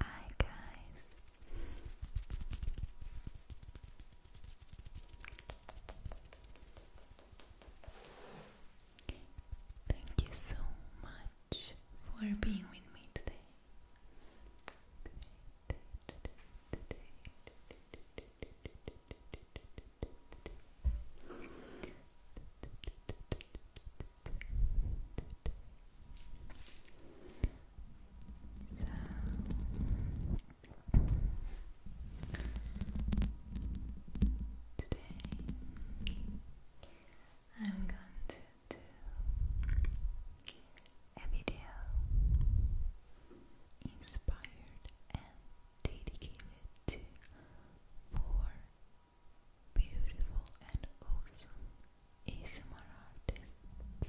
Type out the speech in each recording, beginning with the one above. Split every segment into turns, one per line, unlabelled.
Hi guys. Thank you so much for being with me today. today. So today I'm going to do a video inspired and dedicated to four beautiful and awesome ASMR that are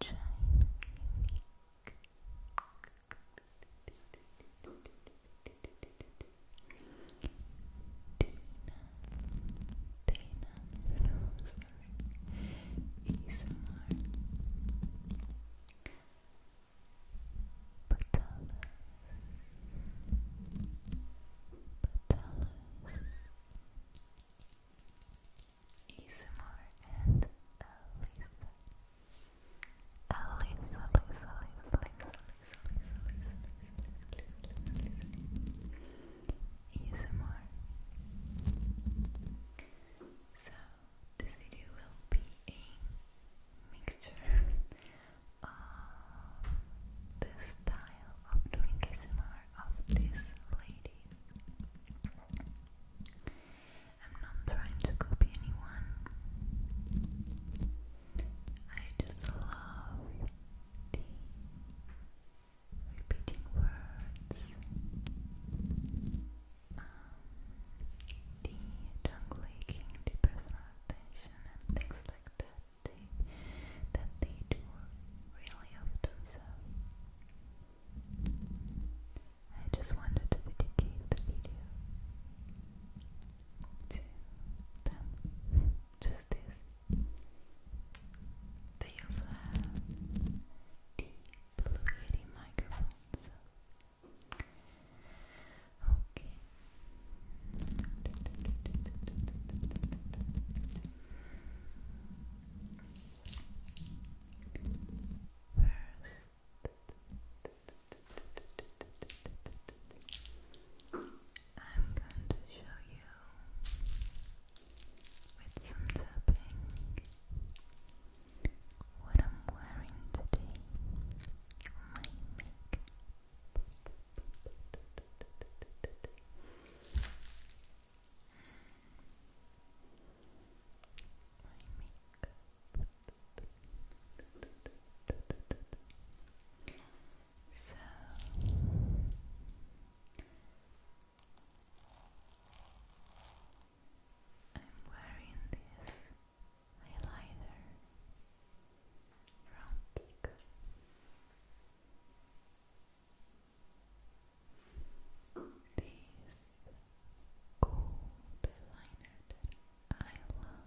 chime Dana, Dana, Patalas Patalas Isamar and Alisa Alisa, Alisa, Alisa, Alisa, Alisa, Alisa, Alisa, Alisa, Alisa. So this video will be a mixture of the style of doing ASMR of this lady. I'm not trying to copy anyone. I just love repeating words um, the jungle aching, the personal attention, and things like that they, that they do really often. So I just wanted to dedicate the video to them, just this. They also have the Blue Yeti microphones. Okay. First, I'm going to show you with some tapping what I'm wearing today, my makeup. So I'm wearing this eyeliner round peak. This gold liner I love.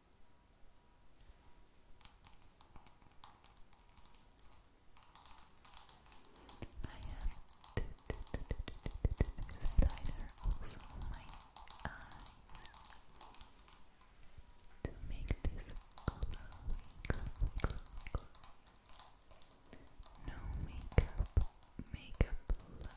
I have highlighter also my eyes to make this No makeup, makeup love.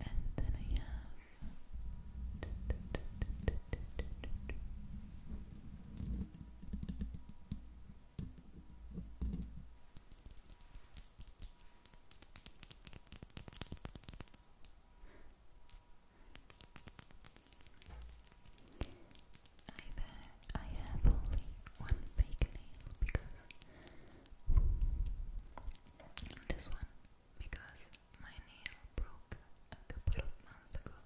And then I have I have only one fake nail because this one because my nail broke a couple of months ago.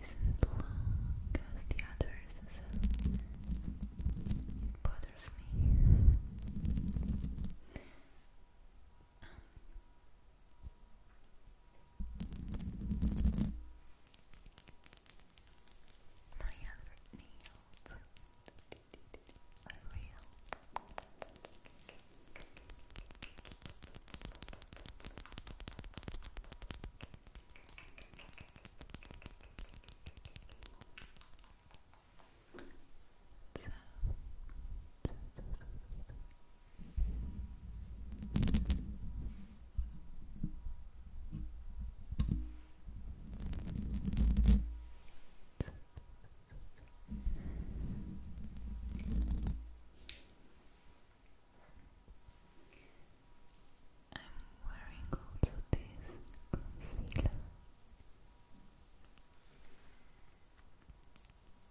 isn't long as the others, so it uh, bothers me. My other nails real. so, wearing also this concealer.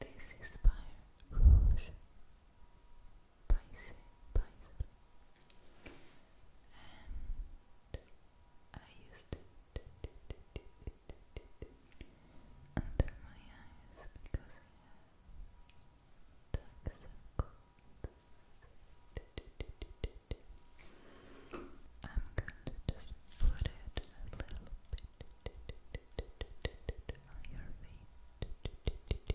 This is by Rouge Paise Paise and I used it under my eyes because I have dark circles. I'm going to just put it a little bit on your feet.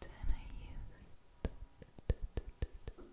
Then I used this mascara from Rouge.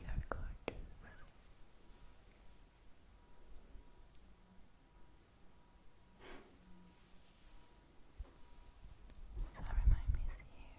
You're good. Sorry, my miss here.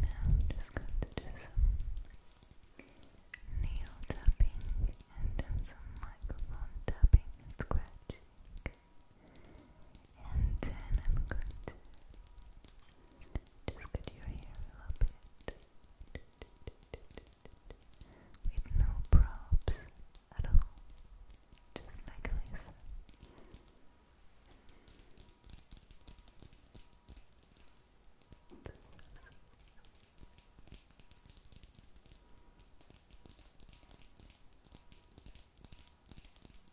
Now I'm just going to do some tapping and then some microphone tapping and scratching. And then I'm going just get your hair a bit with no props at all, just like this.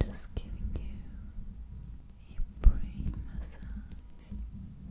i just giving you a brain massage. Just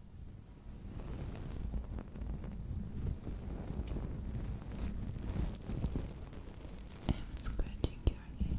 I'm scratching your head.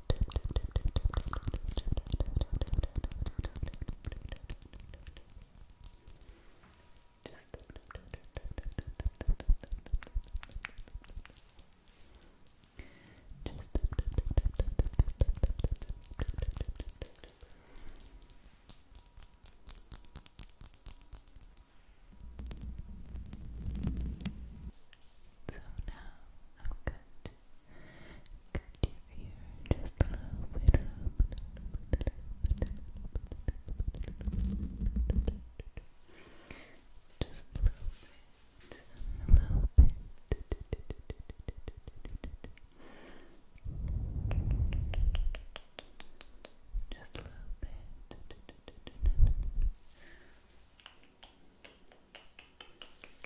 So now I'm going to Cut you ear just a little bit, a little bit, a little bit, just a little bit, a little bit. Just a little bit get your wings, okay?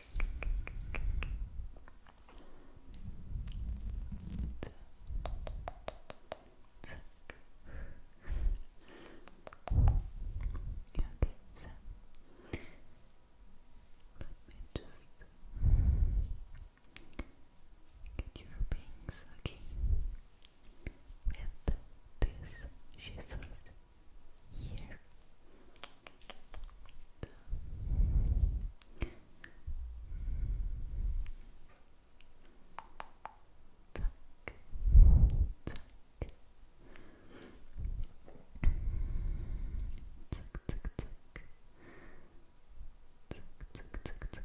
With this scissors here. Tuck, tuck. Tuck, tuck, tuck. Tuck, tuck, tuck, tuck. Tuck, tuck, tuck, tuck.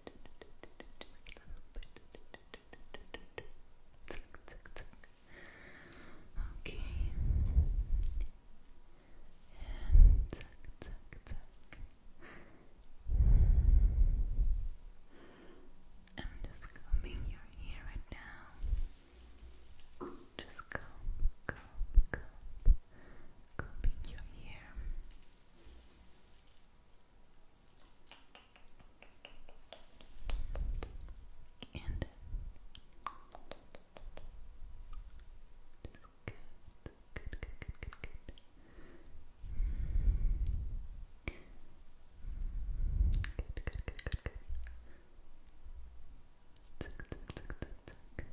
Okay. And tuck, tuck, tuck. I'm just combing your hair right now. Just comb, comb, comb, combing your hair. And good, good, good, good, good, good. Good, good, good, good, good. Tick, tick, tick, tick, tick.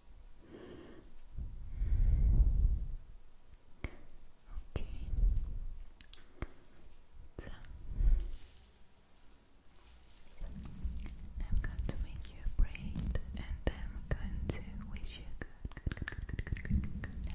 Okay. So I'm going to make you a braid and I'm going to wish you good, good, good, good, good night.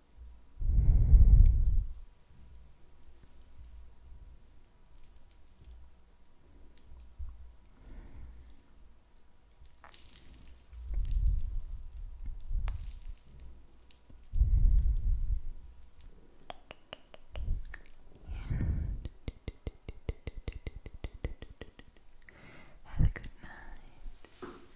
And have a good night.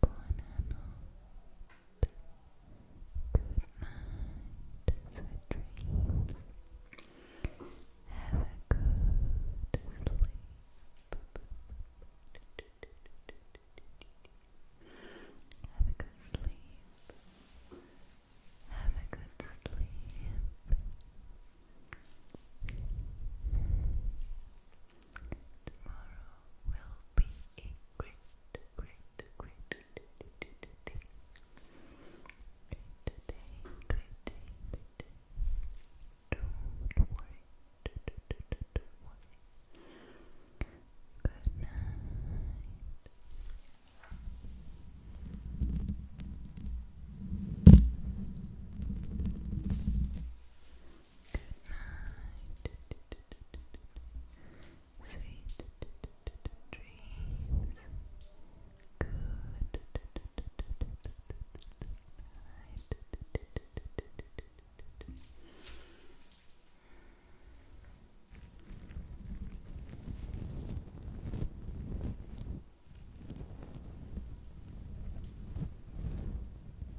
Buonanotte. Good night. Sweet dreams. Have a good sleep. Have a good sleep. Have a good sleep. Tomorrow will be a great, great, great, day. Great day, great Don't worry. Good night. Good night. Sweet dreams. Good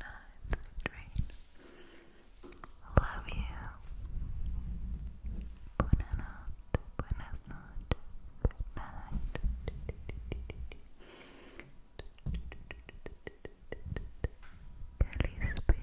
nice dream. Love you. Buena noche, buenas noches, good night. Calispera.